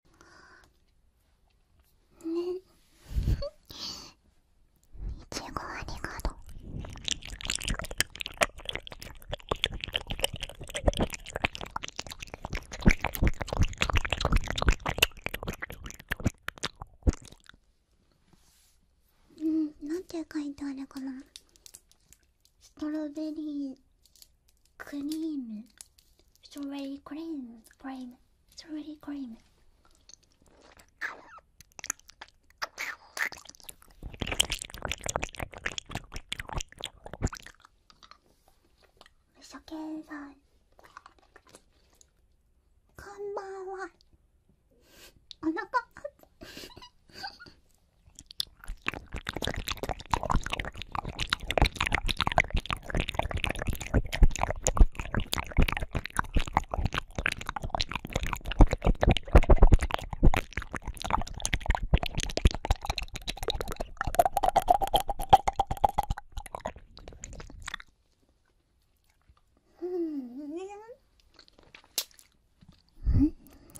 ねっいちごありがとううんなんて書いてあるかなストロベリークリームストロベークリームクリームストロベリークリーム無所さん。こんばんはお腹あっうん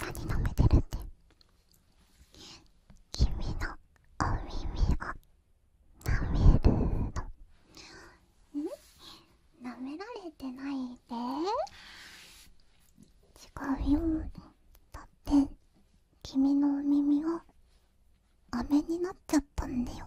何飲めてるって君のお耳が、なめるのなめられてないで違うよだって君のお耳が飴になっちゃったんだよ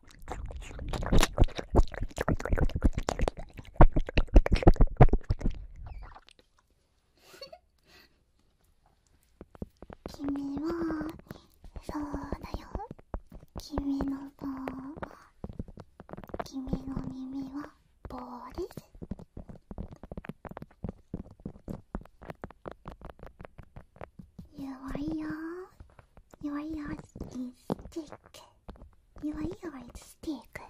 君はそうだよ君の棒は君の耳は棒です弱いよ Your ear is thick. Your ear is thick.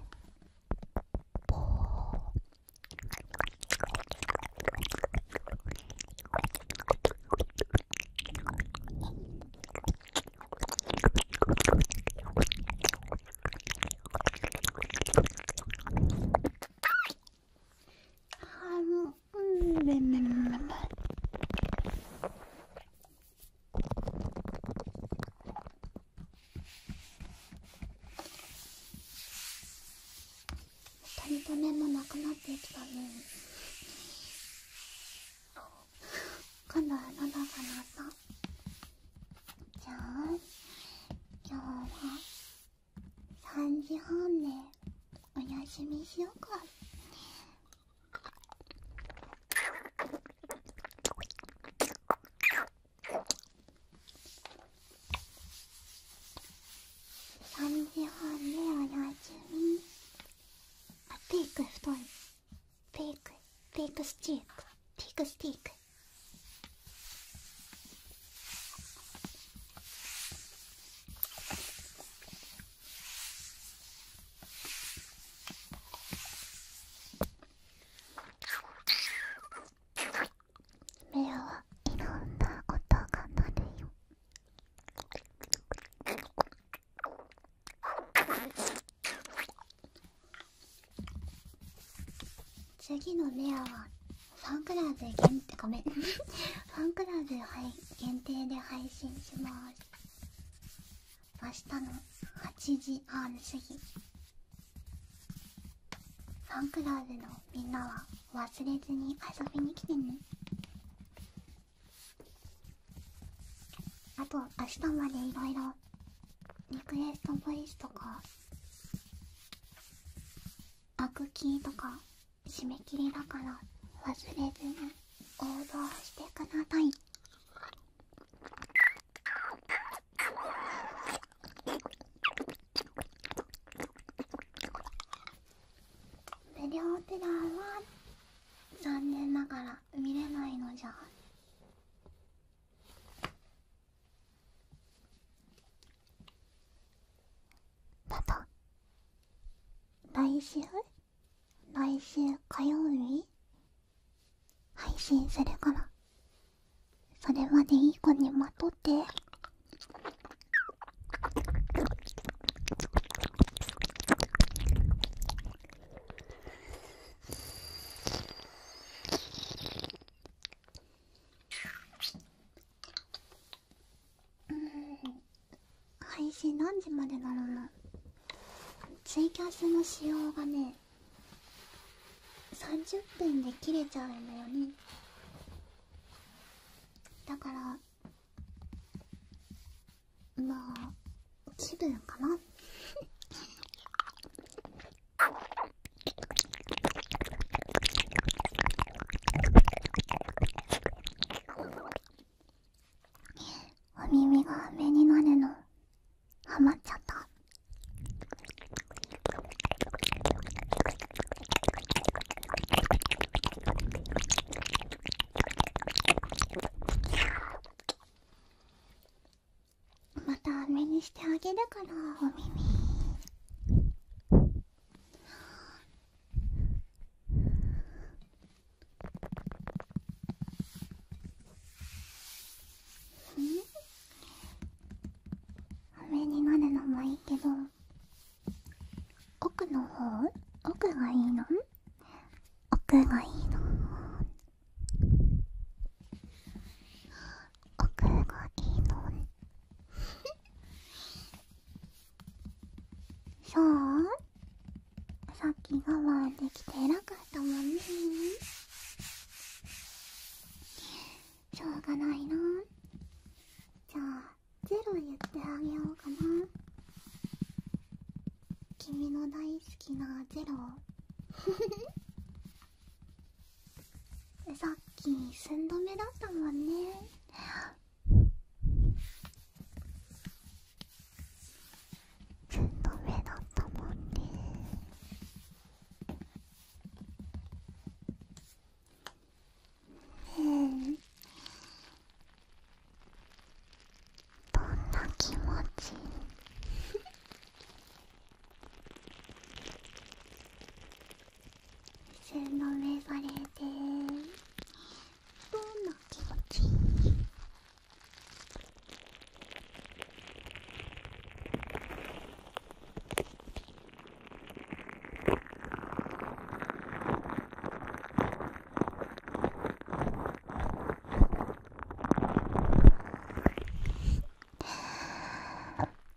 Um, もうんべんべんべん二人とも、もなくなってきたに。今度は喉が鳴ったじゃあ今日は3時半ね。お休みしようか3時半でお休みあピーク太ン。ピークピークスティークピークスティック目はいろんな音が鳴るよ。次のメアはファンクラーズ限定ごめんファンクラーズ配限定で配信します明日の8時半過ぎファンクラブのみんなは忘れずに遊びに来てねあと明日までいろいろリクエストボイスとかアクキーとか締め切りだから忘れずに応募してください無料プランは残念ながら見れないのじゃなど来週来週火曜日配信するからそれまでいい子にまとって。うん配信何時までだろうなツイキャスの仕様がね30分で切れちゃうんだよねだからまあ気分かな お耳が飴になるのハマっちゃったまた飴にしてあげるからお耳。ん？上になるのもいいけど奥の方奥がいいの奥がいいの奥がいいのそうさっき我慢できて偉かったもんねしょうがないなじゃあゼロ言ってあげようかな君の大好きなゼロ さっき寸止めだったもんねずっと目だったもんねどんな気持ちね洗のめされてどんな気持ち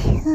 キ ュー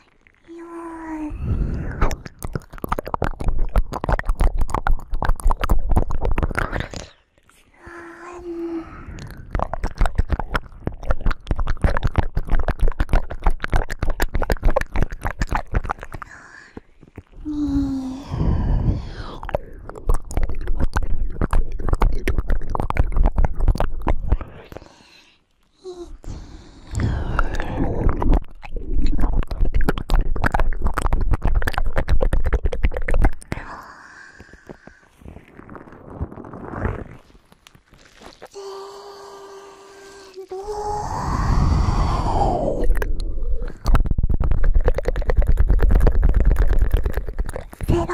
いよにゼロゼロ